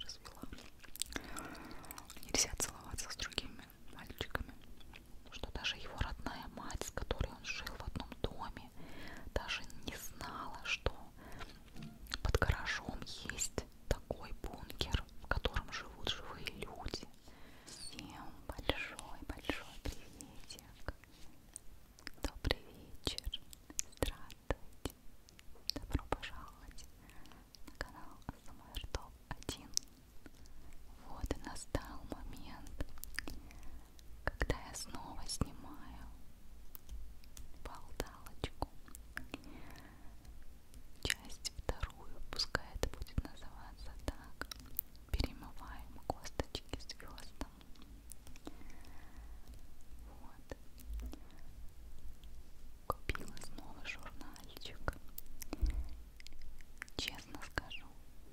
развела. Нельзя целоваться с другими мальчиками. Что даже его родная мать, с которой он жил в одном доме, даже не знала, что под гаражом есть такой бункер, в котором живут живые люди. Всем большой-большой приветик. Добрый вечер. Здравствуйте. Добро пожаловать на канал СМР ТОП-1 Вот и настал момент, когда я снова снимаю болталочку Часть вторую, пускай это будет называться так Перемываем косточки звездам вот. Купила снова журнальчик. Честно скажу,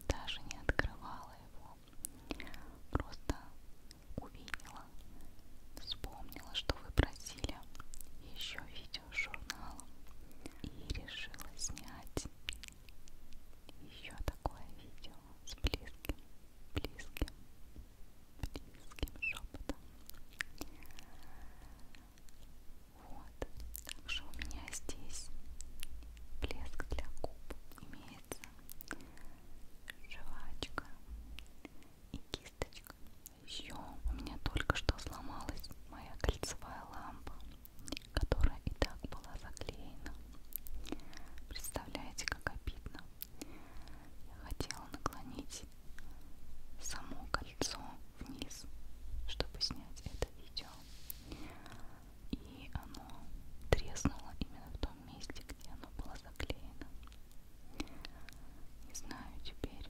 даже не открывала его. Просто увидела, вспомнила, что вы просили еще видео с журналом. И решила снять еще такое видео с близким, близким близким шепотом. Вот, также у меня здесь блеск для губ имеется, жвачка и кисточка. Еще у меня только что сломалась моя кольцевая лампа, которая и так была заклеена. Представляете, как обидно. Я хотела наклонить само кольцо вниз, чтобы снять это видео. И оно треснуло именно в том месте, где оно было заклеено. Не знаю теперь,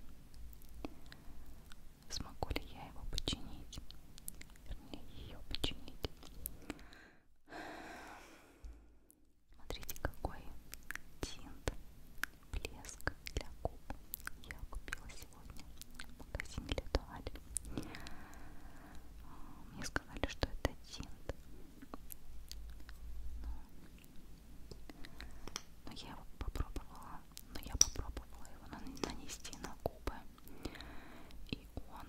смогу ли я его починить. Вернее, ее починить. Смотрите, какой тинт, блеск для губ я купила сегодня в магазине Литуаль. А, мне сказали, что это тинт. Но, но я его попробовала, но я попробовала его нанести на губы, и он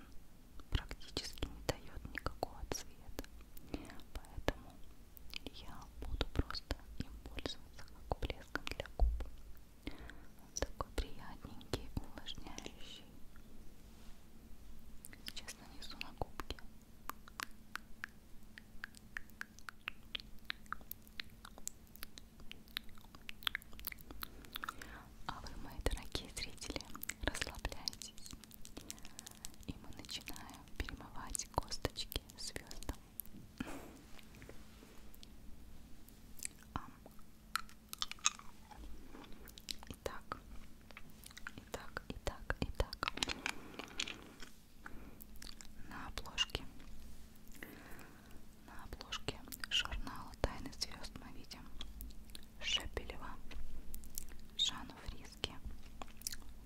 практически не дает никакого цвета, поэтому я буду просто им пользоваться как блеском для губ. Он такой приятненький, увлажняющий. Сейчас нанесу на губки. А вы, мои дорогие зрители, расслабляйтесь, и мы начинаем перемывать косточки свертом. Итак, итак, итак, итак. На обложке. На обложке журнала Тайны звезд мы видим Шепелева, Жанну Фри записки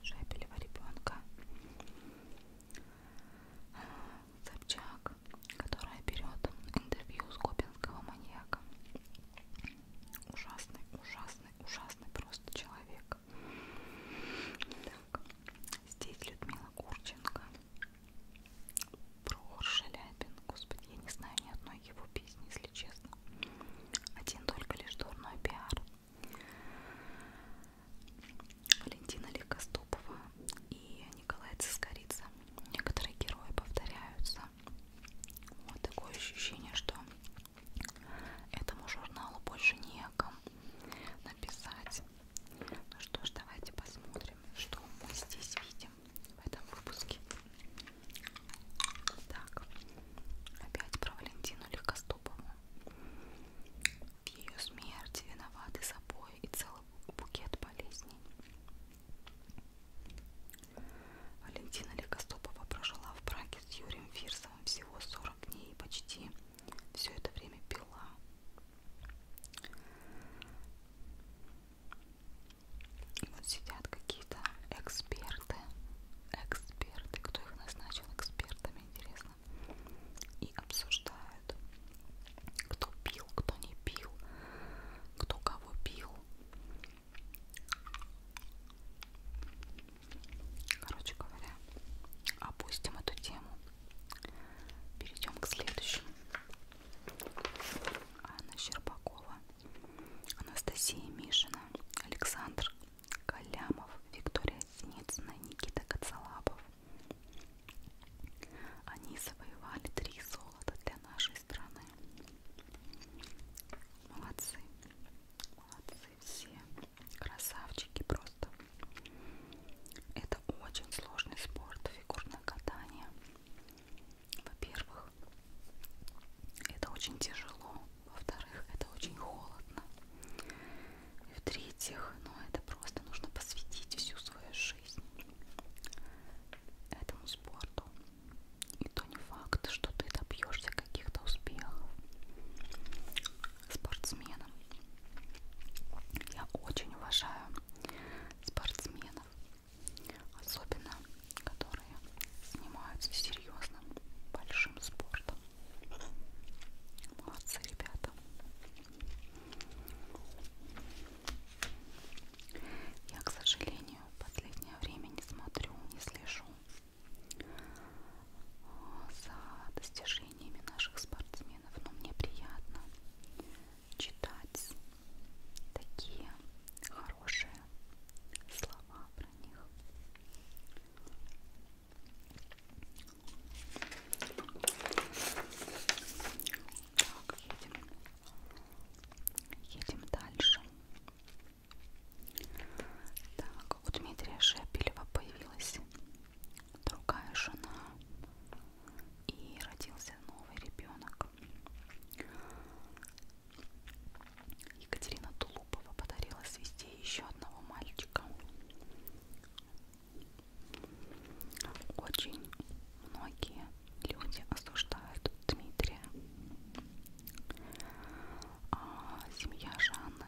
Шепелева ребенка Собчак, которая берет интервью с Копинского маньяка. Ужасный, ужасный, ужасный просто человек. Так, здесь Людмила Курченко. Прохор Шаляпин. Господи, я не знаю ни одной его песни, если честно. Один только лишь дурной пиар. Валентина Лекоступова и Николай Цискорица. Некоторые герои повторяются. Вот такое ощущение, что этому журналу больше не о ком написать. Ну что ж, давайте посмотрим, что мы здесь видим в этом выпуске. Так, опять про Валентину Лекоступову. В ее смерти виноваты собой и целый букет болезней. Валентина Легостопова прожила в браке с Юрием Фирсовым всего 40 дней и почти все это время пила. И вот сидят какие-то эксперты эксперты. Эксперты. Кто их назначил экспертами, интересно. И обсуждают, кто пил, кто не пил, кто кого пил. Короче говоря, опустим эту тему. Перейдем к следующему. Анна Щербакова, Анастасия Мишина, Александр Калямов, Виктория Синицына, Никита Кацалапов. Они завоевали три золота для нашей страны. Молодцы. Молодцы все. Красавчики просто. Это очень сложный спорт, фигурное катание. Во-первых, это очень тяжело во-вторых, это очень холодно, и в-третьих, ну это просто нужно посвятить всю свою жизнь этому спорту, и то не факт, что ты добьешься каких-то успехов спортсменом. Я очень уважаю спортсменов, особенно которые занимаются серьезным большим спортом. Молодцы, ребята. Я, к сожалению, в последнее время не смотрю, не слежу э, за достижениями наших спортсменов, но мне приятно читать такие хорошие слова про них. Так, едем. Едем дальше. Так, у Дмитрия Шепелева появилась другая жена и родился новый ребенок. Екатерина Тулупова подарила свистей еще одного мальчика. Очень многие люди осуждают Дмитрия. А семья Жанны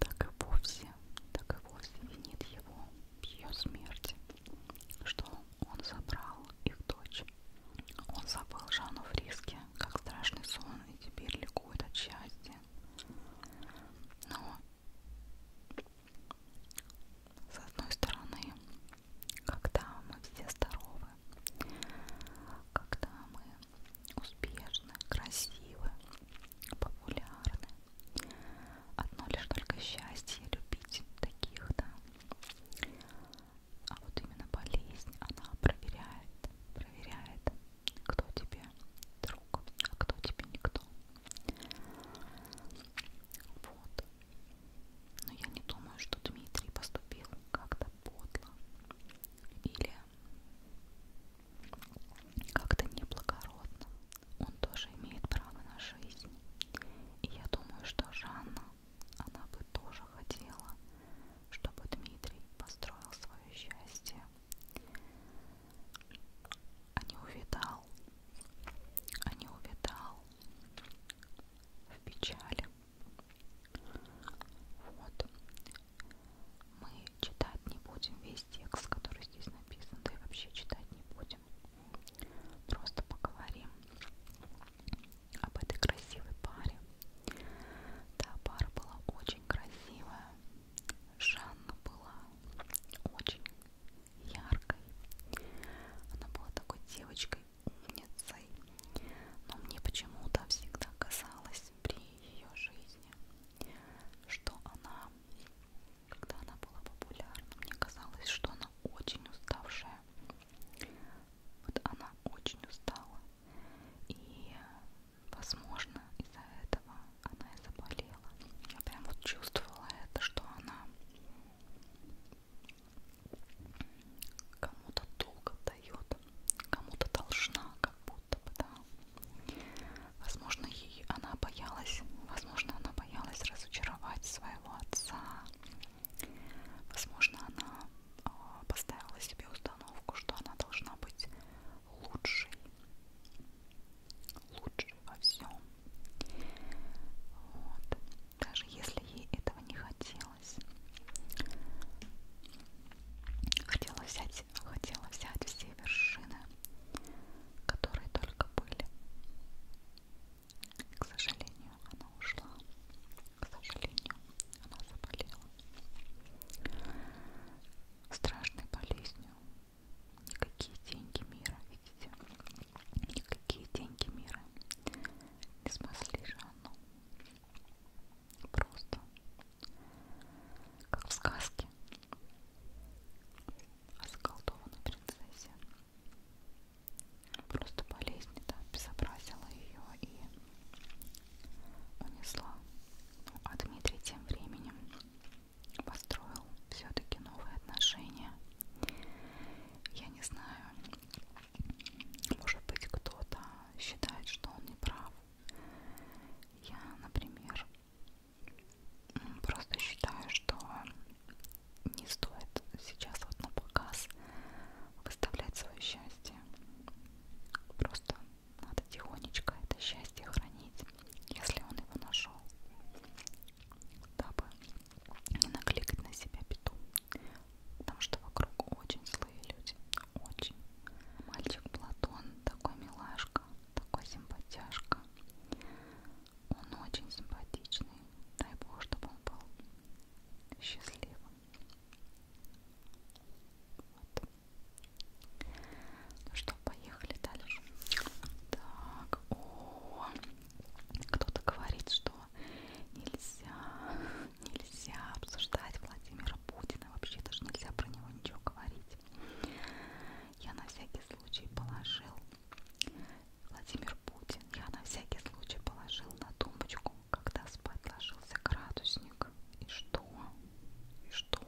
так и вовсе, так и вовсе винит его в ее смерти, что он забрал их дочь. Он забыл Жанну в риске, как страшный сон, и теперь ликует от счастья. Но, с одной стороны, когда мы все здоровы, когда мы успешны, красивы, популярны, одно лишь только счастье любить таких, да. А вот именно болезнь, она проверяет, проверяет кто тебе друг, а кто тебе никто. Вот. Но я не думаю, что Дмитрий поступил как-то подло или как-то неблагородно. Он тоже имеет право на жизнь. И я думаю, что Жанна, она бы тоже хотела чтобы Дмитрий построил свое счастье, а не увидал, а не увидал в печали. Вот. Мы читать не будем весь текст, который здесь написан, да и вообще читать не будем. Просто поговорим об этой красивой паре, да, пара была очень красивая. Жанна была очень яркой. Она была такой девочкой, умницей. Но мне почему-то всегда казалось при ее жизни, что она, когда она была популярна, мне казалось, что она очень уставшая. Вот она очень устала. И возможно, из-за этого она и заболела. Я прям вот чувствовала это, что она кому-то долго дает, кому-то должна, как будто бы, да. Возможно, ей она боялась, возможно, она боялась разочаровать своего отца. Возможно, она а, поставила себе установку, что она должна быть лучшей, лучшей во всем. Вот. Даже если ей этого не хотелось. Хотела взять, хотела взять все вершины, которые только были. К сожалению, она ушла. К сожалению, она заболела страшной болезнью. Никакие деньги мира, видите? Никакие деньги мира не спасли Жанну. Просто как в сказке о заколдованной принцессе. Просто болезнь да, безобразила ее и унесла. А Дмитрий тем временем построил все-таки новые отношения. Я не знаю, может быть кто-то считает, что он не прав. Я, например, просто считаю, что не стоит сейчас вот на показ выставлять свое счастье. Просто надо тихонечко это счастье хранить, если он его нашел, дабы не накликать на себя беду. Потому что вокруг очень злые люди. Очень. Мальчик Платон такой милашка, такой симпатяшка. Он очень симпатичный. Дай бог, чтобы он был счастливым. Вот. Ну что, поехали дальше. Так, о, кто-то говорит, что нельзя, нельзя обсуждать Владимира Путина, вообще даже нельзя про него ничего говорить. Я на всякий случай положил Владимир Путин, я на всякий случай положил на тумбочку когда спать ложился градусник. И что? И что?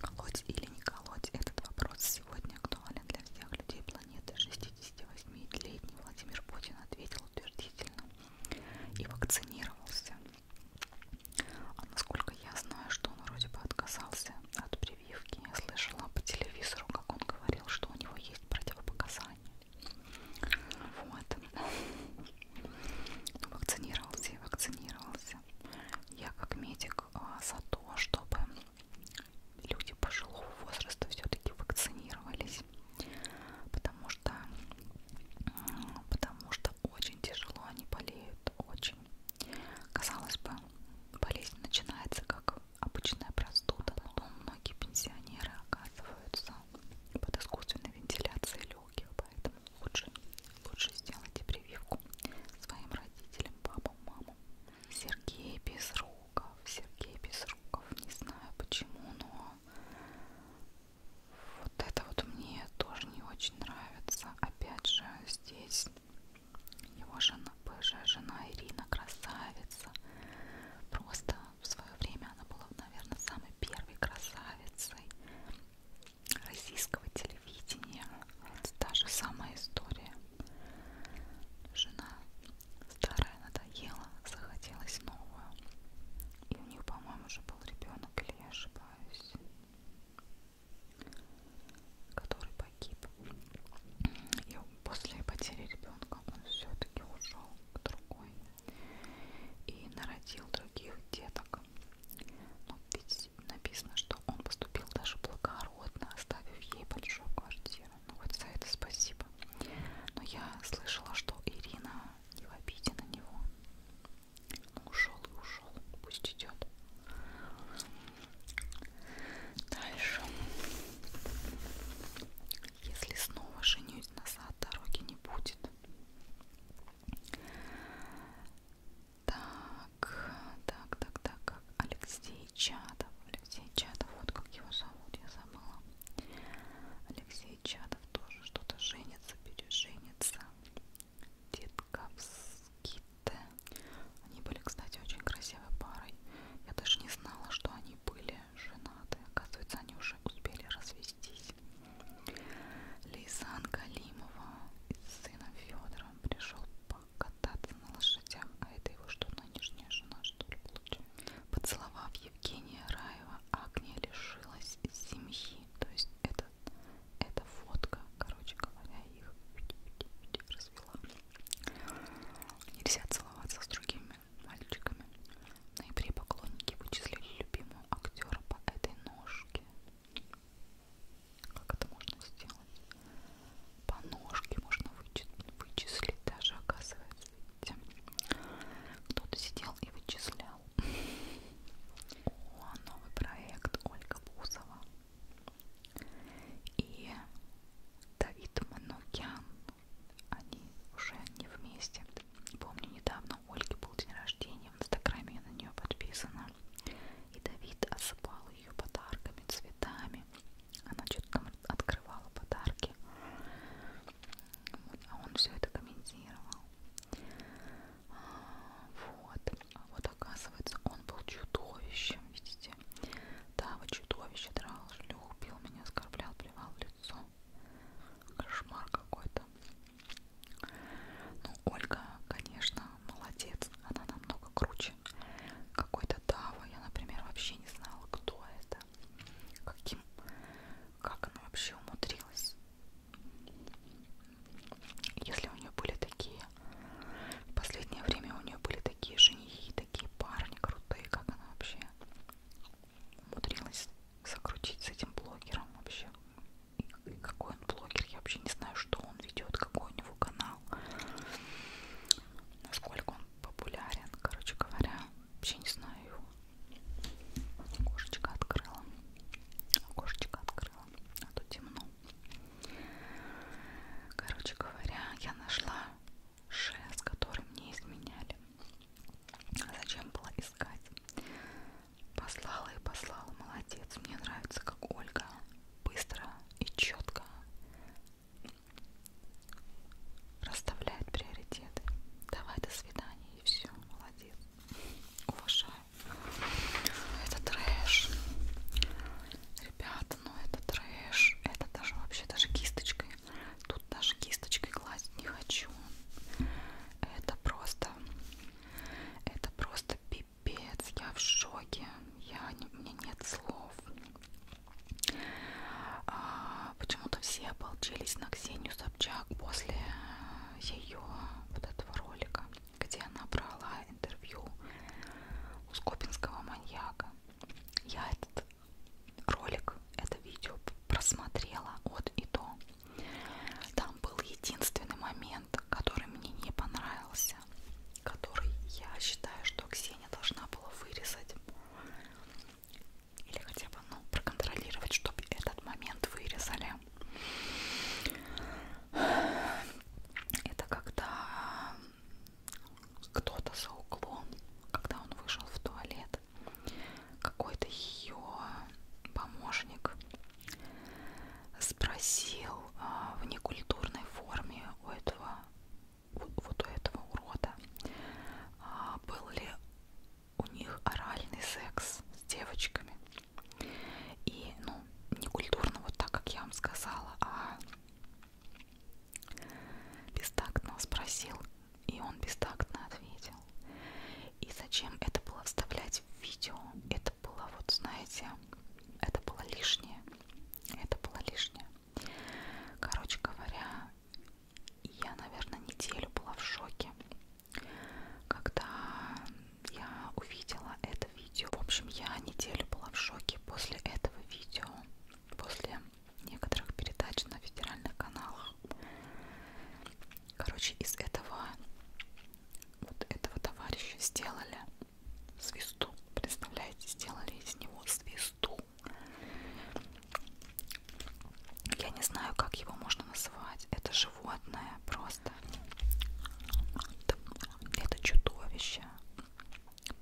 Колоть или не колоть? Этот вопрос сегодня актуален для всех людей планеты. 68-летний Владимир Путин ответил утвердительно и вакцинировался. А насколько я знаю, что он вроде бы отказался от прививки. Я слышала по телевизору, как он говорил, что у него есть противопоказания. Вот. Ну, вакцинировался и вакцинировался. Я как медик а, за то, чтобы люди пожилого возраста все-таки вакцинировались. Потому что, потому что очень тяжело они болеют. Очень. Казалось бы, болезнь начинается как обычная простуда. Потом многие пенсионеры оказываются под искусственной вентиляцией легких, поэтому лучше, лучше сделайте прививку своим родителям, папам, мамам. Сергей Безруков, Сергей Безруков, не знаю почему, но вот это вот мне тоже не очень нравится. Опять же, здесь его жена, бывшая жена Ирина красавица. Просто в свое время она была, наверное, самой первой красавицей российского телевидения. Это та же самая история. Жена старая надоела, захотелось новую. И у них, по-моему, уже был ребенок, или я ошибаюсь, который погиб. И после потери ребенка он все-таки ушел к другой и народил других деток. Но ну, ведь написано, что он поступил даже благородно, оставив ей большую квартиру. Ну вот за это спасибо. Но я слышала, что Ирина не в обиде на него. Ну, ушел и ушел. Пусть идет. Дальше. Если снова женюсь, назад дороги не будет. Так, так, так, так. Алексей Чадов. Алексей Чадов, вот как его зовут, я забыла. Алексей Чадов тоже что-то женится, переженится. Детковские. Они были, кстати, очень красивой парой. Я даже не знала, что они были женаты. Оказывается, они уже успели развестись. Лейсан Галимова с сыном Федором пришел покататься на лошадях, а это его что, нынешняя жена, что ли, получается? Поцеловав Евгения Раева, Агния лишилась семьи. То есть это, это фотка, короче говоря, их развела. Нельзя целоваться с другими девушками, мальчиками. В ноябре поклонники вычислили любимого актера по этой ножке. Как это можно сделать? По ножке можно вычислить, вычислить даже, оказывается. Видите? Кто-то сидел и вычислял. О, новый проект Ольга Бузова. И Давид Манукян они уже не вместе. Помню, недавно у Ольги был день рождения, в инстаграме я на нее подписана. И Давид осыпал ее подарками, цветами. Она что-то там открывала подарки. Вот, а он все это комментировал. Вот. А вот оказывается, он был чудовищем, видите? Да, вот чудовище драл, шлюх, бил меня, оскорблял, плевал в лицо. Кошмар какой-то. Ну, Ольга, конечно, молодец. Она намного круче. Какой-то Дава. Я, например, вообще не знала, кто это. Каким... Как она вообще умудрилась. Если у нее были такие... В последнее время у нее были такие женихи, такие парни крутые, как она вообще умудрилась закрутить с этим блогером вообще. И какой он блогер, я вообще не знаю, что он ведет, какой у него канал, насколько он популярен, короче говоря, вообще не знаю его. Окошечко открыла. Окошечко открыла. А то темно. Короче говоря, я нашла шест, который мне изменяли. Зачем было искать? Послала и послала. Молодец. Мне нравится, как Ольга быстро и четко расставляет приоритеты. Давай, до свидания. И все. Молодец. Уважаю. Ну, это трэш. Ребята, ну это трэш. Это даже вообще даже кисточкой Тут даже кисточкой гладить не хочу. Это просто, это просто пипец. Я в шоке. Я, у меня нет слов. А, Почему-то все обалделись на Ксению Собчак после ее вот этого ролика, где она брала интервью у скопинского маньяка. Я этот ролик, это видео просмотрела от и до. Там был единственный момент, который мне не понравился, который я считаю, что Ксения должна была вырезать или хотя бы ну, проконтролировать, чтобы этот момент вырезали. Это когда кто-то за углом, когда он вышел в туалет, какой-то ее помощник спросил а, в некультурной форме у этого вот у этого урода а, был ли у них оральный секс с девочками и ну не культурно вот так как я вам сказала а бестактно спросил и он бестактно ответил. И зачем это было вставлять в видео? Это было, вот знаете, это было лишнее. Это было лишнее. Короче говоря, я, наверное, неделю была в шоке, когда я увидела это видео. В общем, я неделю была в шоке после этого видео, после некоторых передач на федеральных каналах. Короче, из этого вот этого товарища сделали свисту. Представляете, сделали из него свисту. Я не знаю, как его можно называть. Это животное просто. Это, это чудовище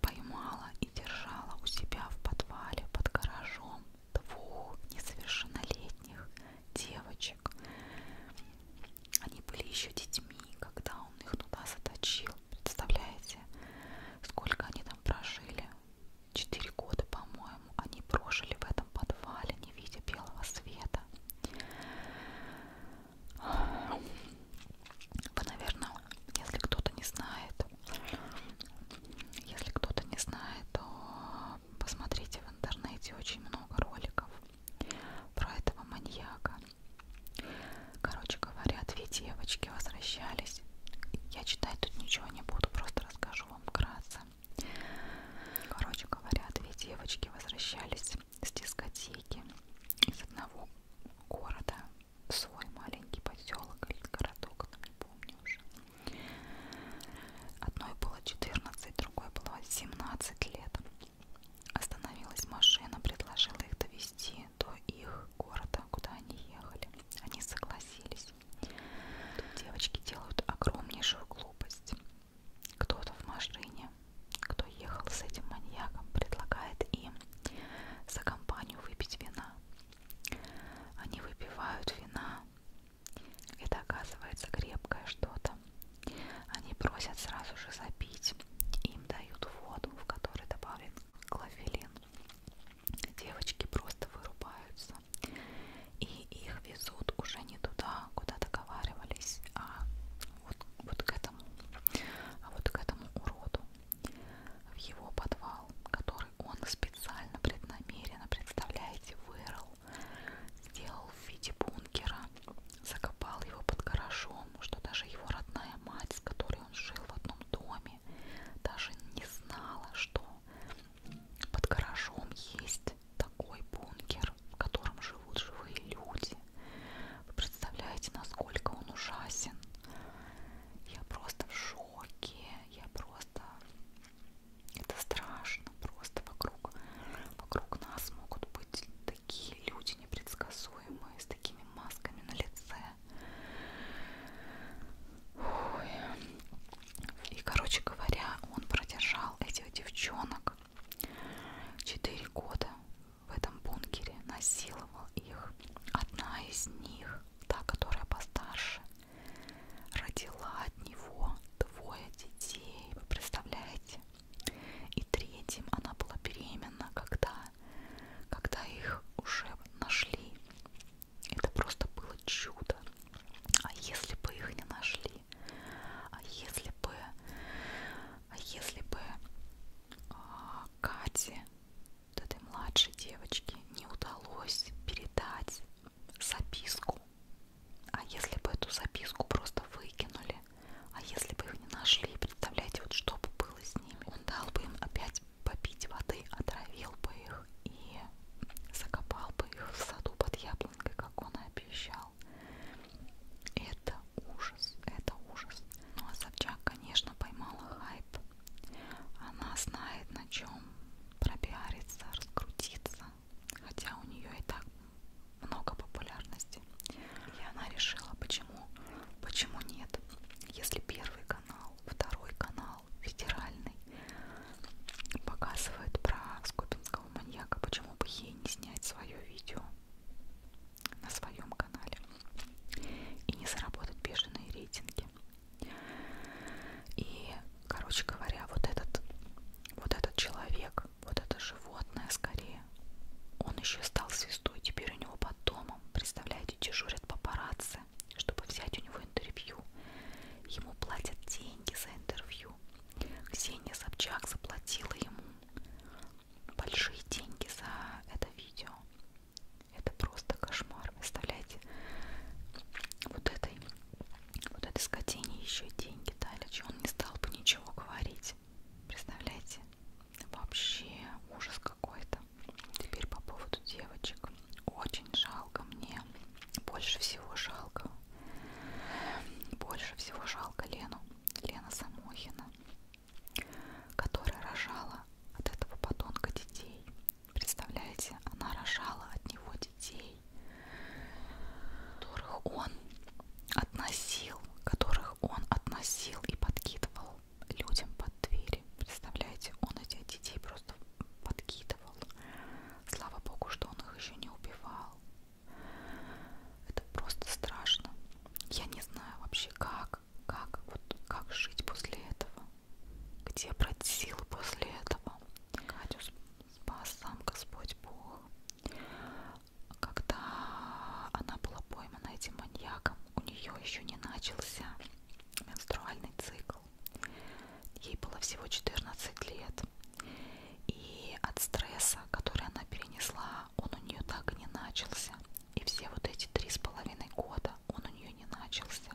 поймала и держала у себя в подвале под гаражом двух несовершеннолетних девочек. Они были еще детьми, когда он их туда заточил. Представляете, сколько они там прожили? Четыре года, по-моему, они прожили в этом подвале, не видя белого света. Вы, наверное, если кто-то не знает, если кто-то не знает, то посмотрите в интернете очень много роликов про этого маньяка. Короче говоря, две девочки возвращались. Я читать тут ничего не буду, просто расскажу вам вкратце. Короче говоря, две девочки возвращались с дискотеки из одного города в свой маленький поселок или городок, не помню уже. Одной было 14, другой было 17 лет. Остановилась машина, предложила их довести до их города, куда они ехали. Они согласились. Тут девочки делают огромнейшую глупость. Кто-то в машине, кто ехал с этим маньяком, предлагает им за компанию выпить вина. Они выпивают вина, это оказывается крепкое что-то. Они просят сразу же запить. Им дают воду, в которой добавлен клофелин. Девочки просто вырубаются. И их везут уже не туда, куда договаривались, а вот, вот к этому, а вот к этому уроду в его подвал, который который он специально преднамеренно, представляете, вырыл, сделал в виде бункера, закопал его под гаражом, что даже его родная мать, с которой он жил в одном доме, даже не знала, что под гаражом есть такой бункер, в котором живут живые люди. Вы представляете, насколько он ужасен? Я просто в шоке, я просто это страшно. Просто вокруг, вокруг нас могут быть такие люди непредсказуемые, с такими масками на лице. Ой. И, короче говоря, он продержал этих девчонок 4 года в этом бункере, насиловал их. Одна из них, та, которая постарше, Родила от него двое детей, вы представляете? И третьим она была беременна, когда, когда их уже нашли. Это просто было чудо. А если бы их не нашли? А если бы, а если бы а, Кате вот этой младшей девочке не удалось передать записку. А если бы эту записку просто выкинули, а если бы их не нашли, представляете, вот что бы было с ними? Он дал бы им опять попить воды, отравил бы их и закопал бы их в саду под яблонькой, как он и обещал. Это ужас, это ужас. Ну а Собчак, конечно, поймала Хай хайп. Она знает, на чем пропиариться, раскрутиться, хотя у нее и так много популярности. И она решила, почему, почему нет. Если первый канал, второй канал, федеральный, показывает про скопинского маньяка, почему бы ей не снять свое видео на своем канале и не заработать бешеные рейтинги. И, короче говоря, вот этот, вот этот человек, вот это животное скорее, он еще стал звездой. Теперь у него под домом, представляете, дежурят папарацци, чтобы взять у него интервью. Ему платят деньги за интервью. Ксения Собчак заплатила ему большие деньги за это видео. Это просто кошмар. Выставляйте вот этой, вот этой скотине еще деньги дали. Че он не стал бы ничего говорить. Представляете? Вообще ужас какой-то. Теперь по поводу девочек. Очень жалко мне. Больше всего жалко. Больше всего жалко Лену. Лена Самохина, которая рожала от этого подонка детей. Представляете, она рожала от него детей, которых он относил, которых он относил и подкидывал людям под двери. Представляете, он этих детей просто подкидывал. Слава богу, что он их еще не убивал. Это просто страшно. Я не знаю вообще, как, как, вот как жить после этого где брать силы после этого? Катю спас сам Господь Бог. Когда она была поймана этим маньяком, у нее еще не начался менструальный цикл. Ей было всего 14 лет. И от стресса, который она перенесла, он у нее так и не начался. И все вот эти три с половиной года он у нее не начался вопросе.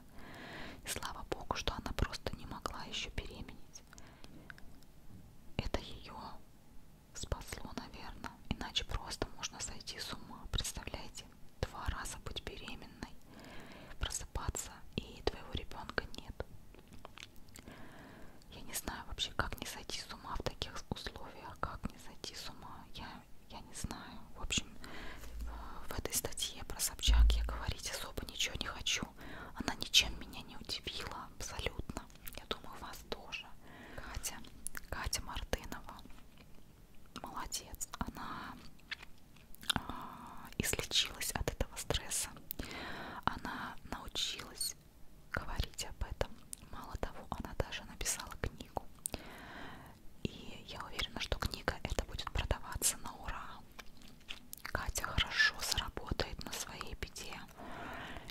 И слава богу, что она просто не могла еще беременеть. Это ее спасло, наверное. Иначе просто можно сойти с ума. Представляете, два раза быть беременной, просыпаться, и твоего ребенка нет. Я не знаю вообще, как не сойти с ума в таких условиях, как не сойти с ума. Я, я не знаю в общем, в этой статье про Собчак я говорить особо ничего не хочу. Она ничем меня не удивила абсолютно. Я думаю, вас тоже. Катя, Катя Мартынова, молодец. Она а, излечилась от этого стресса. Она научилась говорить об этом. Мало того, она даже написала книгу. И я уверена, что книга это будет продаваться на ура. Катя хорошо заработает на своей беде.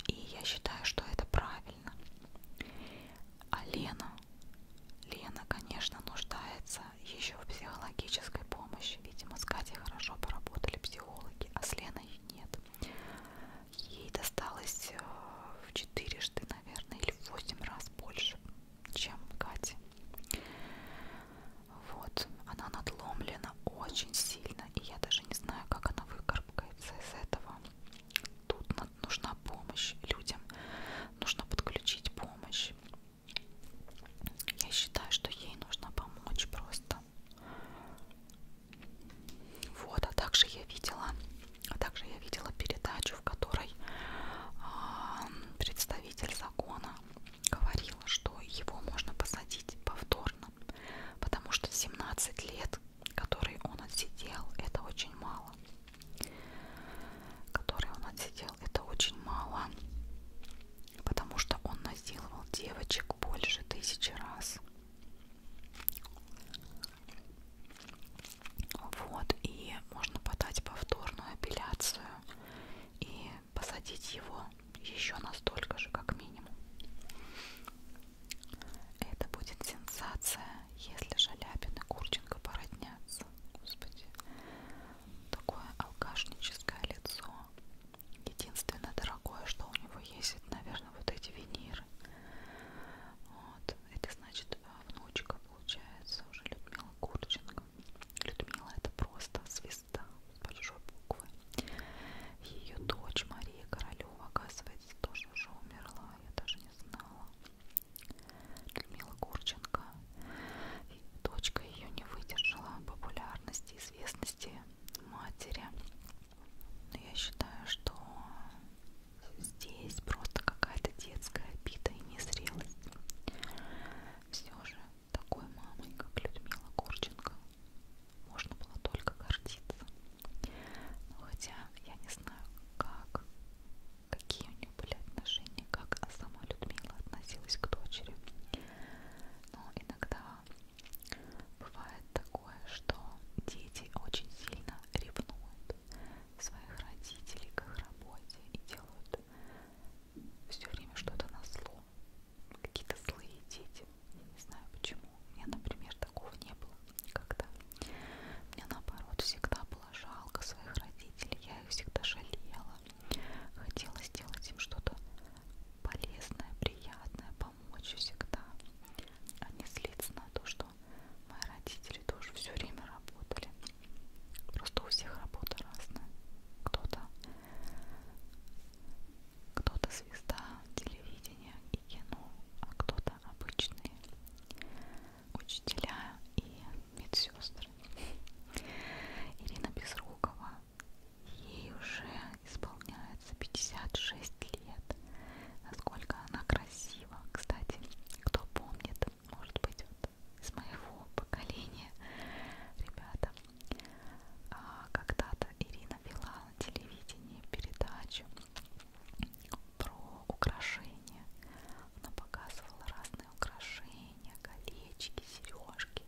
И я считаю, что это правильно. А Лена, Лена, конечно, нуждается еще в психологической помощи. Видимо, с Катей хорошо поработали психологи, а с Леной нет. Ей досталось э, в четырежды, наверное, или в восемь раз больше чем Кати. Вот, она надломлена очень сильно, и я даже не знаю, как она выкарабкается из этого. Тут нужна помощь людям, нужно подключить помощь. Я считаю, что ей нужно помочь просто. Вот, а также я видела, а также я видела передачу, в которой а, представитель представитель закона говорила, что его можно посадить повторно, потому что 17 лет, которые он отсидел, это очень мало. Которые он отсидел, это очень мало, потому что он насиловал девочек больше тысячи раз. Вот, и можно подать повторную апелляцию и посадить его еще настолько же, как минимум. Это будет сенсация, если Шаляпин и Курченко породнятся. Господи, такое алкашническое лицо. Единственное дорогое, что у него есть, это, наверное, вот эти виниры. Вот. Это значит а, внучка получается уже Людмила Курченко. Людмила это просто звезда с большой буквы. Ее дочь Мария Королева, оказывается, тоже уже умерла, я даже не знала. Людмила Гурченко. И дочка ее не выдержала популярности, известности матери. Но я считаю, что здесь просто какая-то детская обида и незрелость. Все же такой мамой, как Людмила Гурченко, можно было только гордиться. Но ну, хотя я не знаю, как, какие у нее были отношения, как сама Людмила относилась к дочери. Но иногда бывает такое, что дети очень сильно ревнуют своих родителей к их работе и делают все время что-то на зло. Какие-то злые дети. Я не знаю почему. У меня, например, такого не было никогда. Мне наоборот всегда было жалко своих родителей. Я их всегда жалела. Хотела сделать им что-то полезное, приятное, помочь всегда. А не злиться на то, что мои родители дочери тоже все время работали. Просто у всех работа разная. Кто-то кто-то звезда телевидения и кино, а кто-то обычные учителя и медсестры. Ирина Безрукова. Ей уже исполняется 56 лет. Насколько она красива. Кстати, кто помнит, может быть, из моего поколения, ребята. А, когда-то Ирина вела на телевидении передачу про украшения. Она показывала разные украшения, колечки, сережки.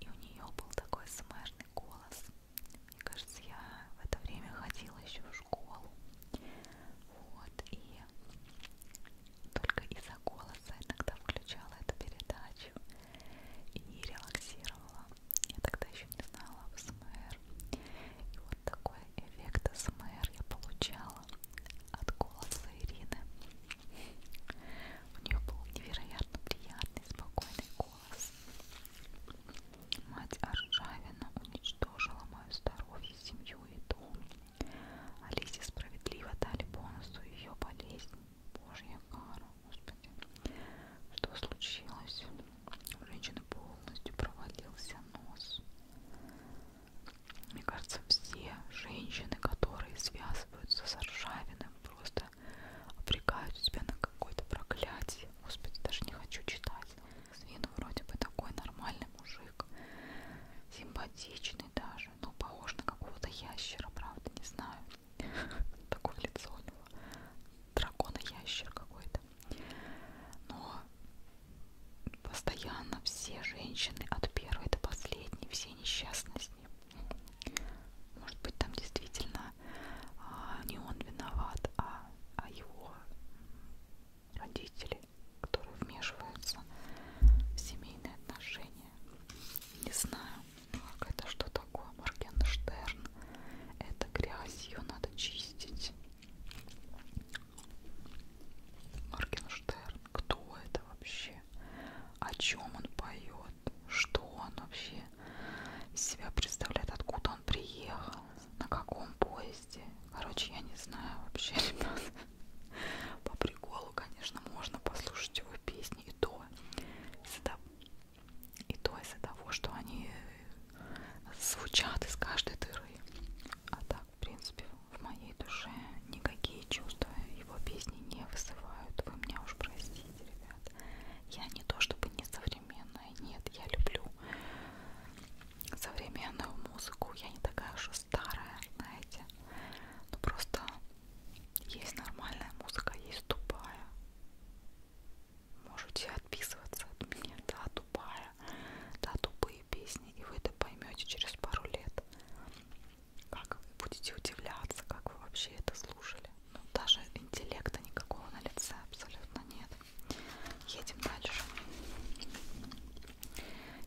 И у нее был такой смешный голос. Мне кажется, я в это время ходила еще в школу. Вот, и только из-за голоса иногда включала эту передачу и релаксировала. Я тогда еще не знала СМР. И вот такой эффект СМР я получала от голоса Ирины. У нее был невероятно приятный, спокойный голос. Мать Аржавина уничтожила мою здоровье, семью и дом. Алисе справедливо дали бонусу ее болезнь. Божья кара, господи. Что случилось? У женщины полностью провалился нос. Мне кажется, все женщины, которые связываются с Аршавиным, просто обрекают себя на какое-то проклятие. Господи, даже не хочу читать. С виду вроде бы такой нормальный мужик так симпатичный даже, но ну, похож на какого-то ящера, правда, не знаю. Такое лицо у него. Дракона-ящер какой-то. Но постоянно все женщины от первой до последней, все несчастны с ним. Может быть, там действительно а, не он виноват, а, а его родителей, которые вмешиваются в семейные отношения. Не знаю, как это что такое, Моргенштерн. Это грязь, ее надо чистить. Моргенштерн, кто это вообще? О чем он поет? Что он вообще из себя представляет? Откуда он приехал? На каком поезде? Короче, я не знаю вообще, ребят. По приколу, конечно, можно послушать его песни и то из-за того, что они звучат из каждой дыры. А так, в принципе, в моей душе никакие чувства его песни не вызывают. Вы меня уж простите, ребят. Я не то чтобы не современная, нет, я люблю современную музыку. Я не такая уж и старая, знаете. Ну просто есть нормальная музыка, есть тупая. Можете отписываться от меня, да, тупая, да, тупые песни, и вы это поймете через пару лет. Как вы будете удивляться, как вы вообще это слушали. Ну, даже интеллекта никакого на лице абсолютно нет. Едем дальше.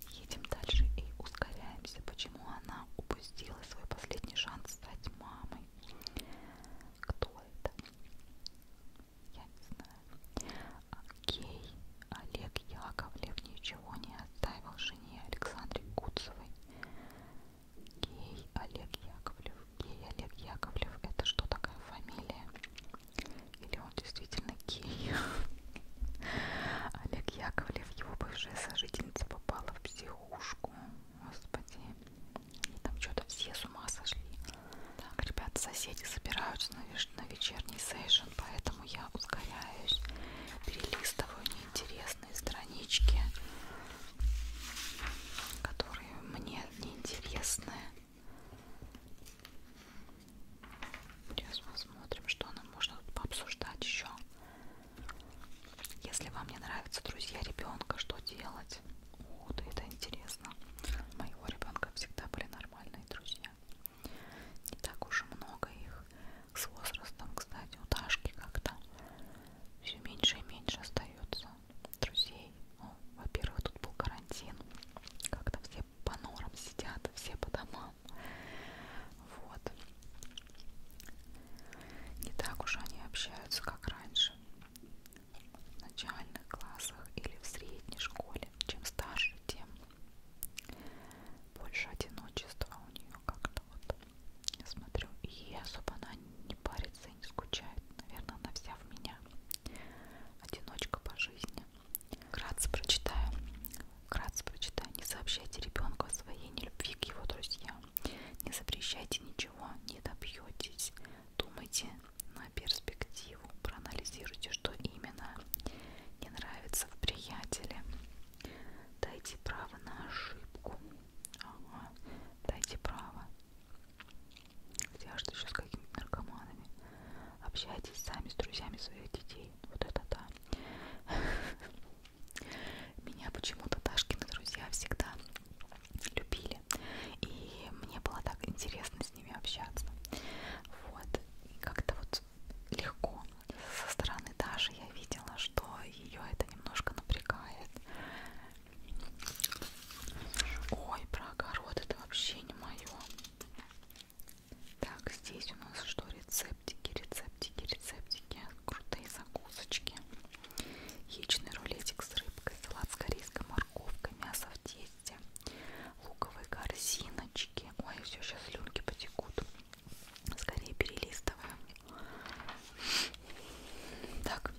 Едем дальше и ускоряемся. Почему она упустила свой последний шанс стать мамой? Кто это? Я не знаю. А, Гей Олег Яковлев ничего не оставил жене Александре Куцевой. Гей Олег Яковлев. Гей Олег Яковлев. Это что такая фамилия? Или он действительно гей? Олег Яковлев, его бывшая сожительница, попала в психушку. Господи. И там что-то все с ума сошли. Так, ребят, соседи собираются на вечерний сейшн, поэтому я ускоряюсь, перелистываю неинтересные странички, которые мне неинтересны. Сейчас посмотрим, что нам можно тут пообсуждать еще. Если вам не нравятся друзья ребенка, что делать? О, да это интересно. У моего ребенка всегда были нормальные друзья. Не так уж и много их. С возрастом, кстати, у Дашки как-то все меньше и меньше остается друзей. Ну, во-первых, тут был карантин. Как-то все все по норам сидят, все по домам. Вот. Не так уж они общаются, как раньше. В начальных классах или в средней школе. Чем старше, тем больше одиночества у нее как-то вот. Я смотрю, и особо она не парится и не скучает. Наверное, она вся в меня. Одиночка по жизни. Вкратце прочитаю. Вкратце прочитаю. Не сообщайте ребенку о своей нелюбви к его друзьям. Не запрещайте ничего, не добьетесь. Думайте на перспективу. Проанализируйте, что именно не нравится в приятеле. Дайте право на ошибку. Ага. Дайте право. Хотя что еще с какими-то наркоманами? Общайтесь сами с друзьями своих детей вот это да. Меня почему-то Дашкины друзья всегда любили. И мне было так интересно с ними общаться. Вот. И как-то вот легко. Со стороны Даши я видела, что ее это немножко напрягает. Ой, про огород это вообще не мое. Так, здесь у нас что? Рецептики, рецептики, рецептики. Крутые закусочки. Яичный рулетик с рыбкой, салат с корейской морковкой, мясо в тесте, луковые корзиночки. Ой, все, сейчас слюнки потекут. Скорее перелистываем. Так.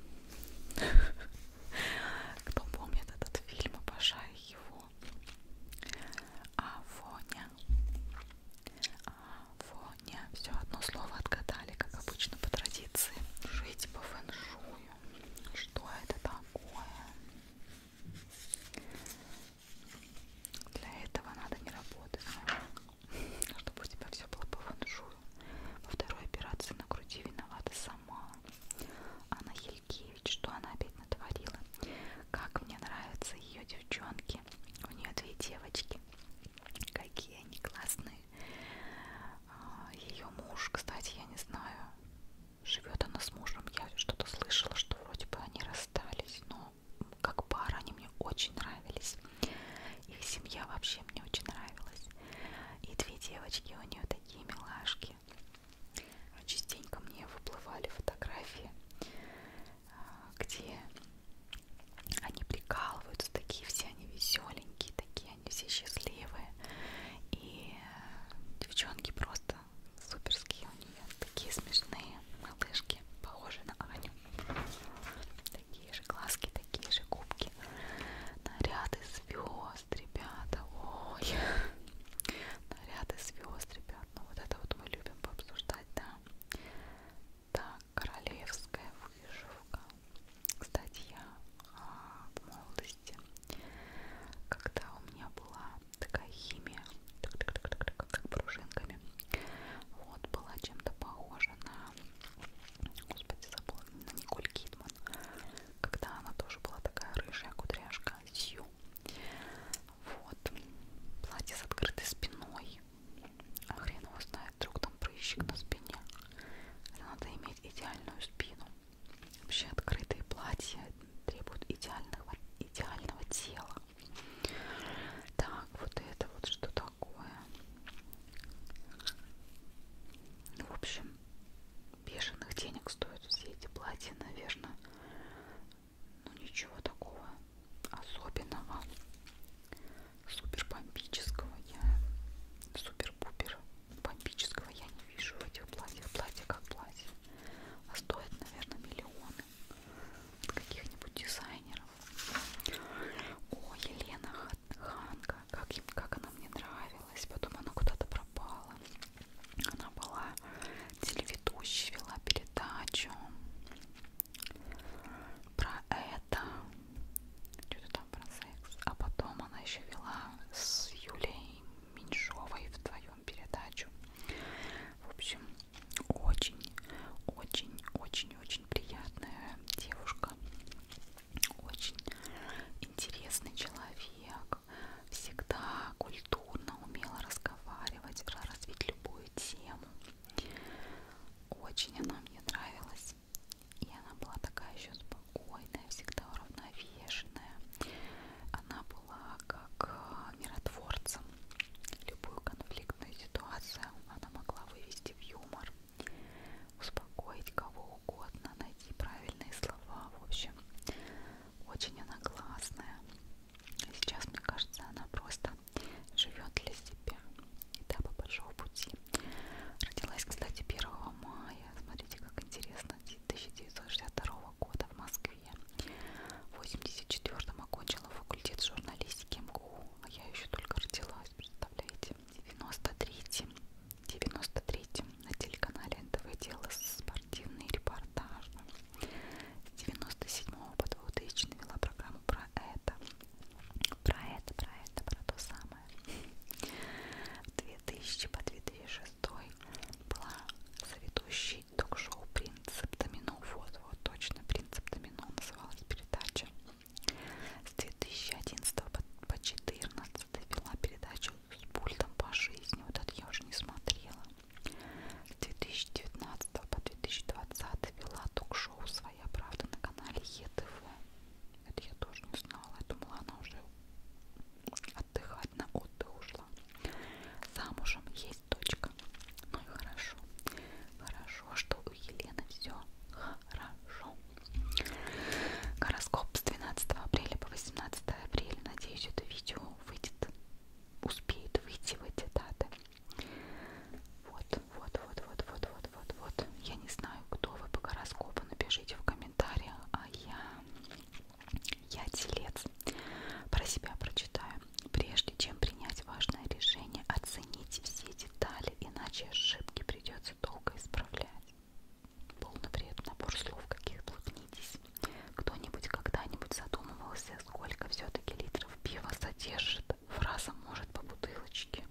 Кто помнит этот фильм, обожаю его. Афо. Афоня. Афоня. Все одно слово отгадали, как обычно по традиции. Жить по фэншую. Что это такое? Для этого надо не работать. Чтобы у тебя все было по фэншую. Во второй операции на груди виновата сама. Анна Елькевич. Что она опять натворила. Как мне нравятся ее девчонки. У нее две девочки. Какие они классные. А, ее муж, кстати, я не знаю, живет она с мужем. Я что-то слышала, что вроде бы они расстались, но как пара они мне очень нравились. Их семья вообще мне очень нравилась. И две девочки у нее такие милашки фотографии. Частенько мне выплывали фотографии, а, где они прикалываются, такие все они веселенькие, такие они все счастливые. И э, девчонки просто суперские у нее, такие смешные малышки, похожие на Аню. Такие же глазки, такие же губки. Наряды звезд, ребята. Ой. Наряды звезд, ребята но ну, вот это вот мы любим пообсуждать, да. Так, королевская вышивка. Кстати, я а, в молодости, когда у меня была такая химия, так, так, так, так, так, как пружинками, вот была чем-то похожа на, господи, забыла, на Николь Кидман, когда она тоже была такая рыжая кудряшка, сью. Вот. Платье с открытой спиной. А хрен его знает, вдруг там прыщик на спине. Это надо иметь идеальную спину. Вообще открытые платья требуют идеального, идеального тела. Так, вот это вот что такое. Ну, в общем, бешеных денег стоят все эти платья, наверное ну ничего такого особенного, супер бомбического я, супер-пупер бомбического я не вижу в этих платьях, платье как платье, а стоит, наверное, миллионы от каких-нибудь дизайнеров. О, Елена Ханка, как, как она мне нравилась, потом она куда-то пропала. Она была телеведущей, вела передачу про это, что-то там про секс. А потом она еще вела с Юлей Меньшовой вдвоем передачу. В общем, очень, очень, очень, очень приятная девушка, очень интересный человек всегда культурно умела разговаривать, развить любую тему. Очень она мне нравилась. И она была такая еще спокойная, всегда уравновешенная. Она была как а, миротворцем. Любую конфликтную ситуацию она могла вывести в юмор, успокоить кого угодно, найти правильные слова. В общем, очень она классная. Сейчас, мне кажется, она просто живет для себя. И да, по большому пути. Родилась, кстати, 1 мая. Смотрите, как интересно. 1962 года в Москве. В 1984 окончила факультет журналистики МГУ. А я еще только родилась, представляете? В 93 93 на телеканале НТВ делала с спортивный репортаж. С 97 по 2000 вела программу про это. Про это, про это, про то самое. 2000 по 2006 была заведущей ток-шоу «Принцип домино». Вот, вот, точно, «Принцип домино» называлась передача. С 2011 по 2014 вела передачу с пультом по жизни. Вот это я уже не смотрела. С 2019 по 2020 вела ток-шоу «Своя правда» на канале ЕТВ. Это я тоже не знала, я думала, она уже отдыхать на отдых ушла. Замужем есть дочка. Ну и хорошо. Хорошо, что у Елены все хорошо. Гороскоп с 12 апреля по 18 апреля. Надеюсь, это видео выйдет успеет выйти в эти даты. Вот, вот, вот, вот, вот, вот, вот, вот. Я не знаю, кто вы по гороскопу, напишите в комментариях, а я... Я телец. Про себя прочитаю. Прежде чем принять важное решение, оцените все детали, иначе ошибки придется долго исправлять. Полный бред, набор слов, каких блуднитесь. Кто-нибудь когда-нибудь задумывался, сколько все-таки литров пива содержит фраза «может по бутылочке».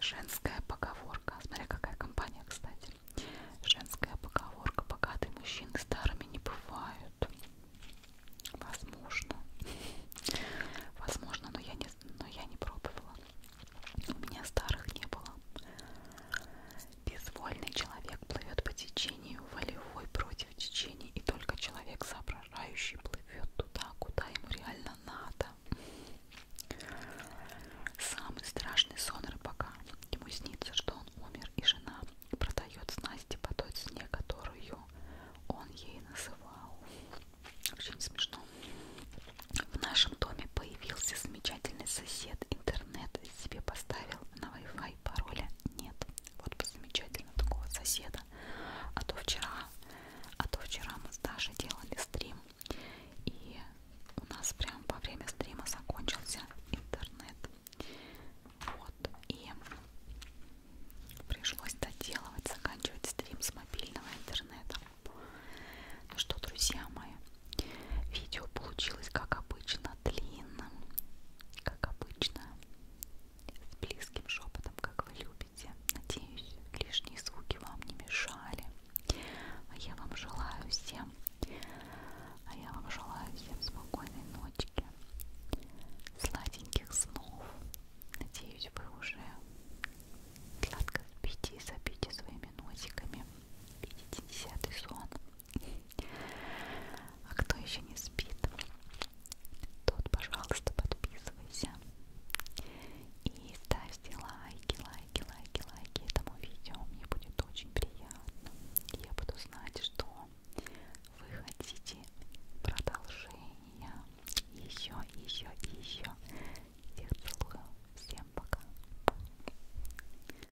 Женская поговорка. Смотря какая компания, кстати. Женская поговорка. Богатые мужчины старыми не бывают. Возможно. Возможно, но я не, но я не пробовала. У меня старых не было. Безвольный человек плывет по течению, волевой против течения, и только человек соображающий плывет туда, куда ему реально надо. Самый страшный сон рыбака. Ему снится, что он умер, и жена продает снасти по той цене, которую он ей называл. Вообще не смешно. В нашем доме появился замечательный сосед. Интернет себе поставил на Wi-Fi и пароля нет. Вот бы замечательно такого соседа. А то вчера, а то вчера мы с Дашей делали стрим, и у нас прям во время стрима закончился интернет. Вот. И пришлось доделывать, заканчивать стрим с мобильного интернета. Ну что, друзья мои, Видео получилось, как обычно, длинным, как обычно, с близким шепотом, как вы любите. Надеюсь, лишние звуки вам не мешали. А я вам желаю всем, а я вам желаю всем спокойной ночки, сладеньких снов. Надеюсь, вы уже сладко спите и забите своими носиками. Видите десятый сон. А кто еще не спит, тот, пожалуйста, подписывайся и ставьте лайки, лайки, лайки, лайки этому видео. Мне будет очень приятно. Я буду знать, что вы хотите продолжения. Еще, еще, еще. Всех целую. Всем пока.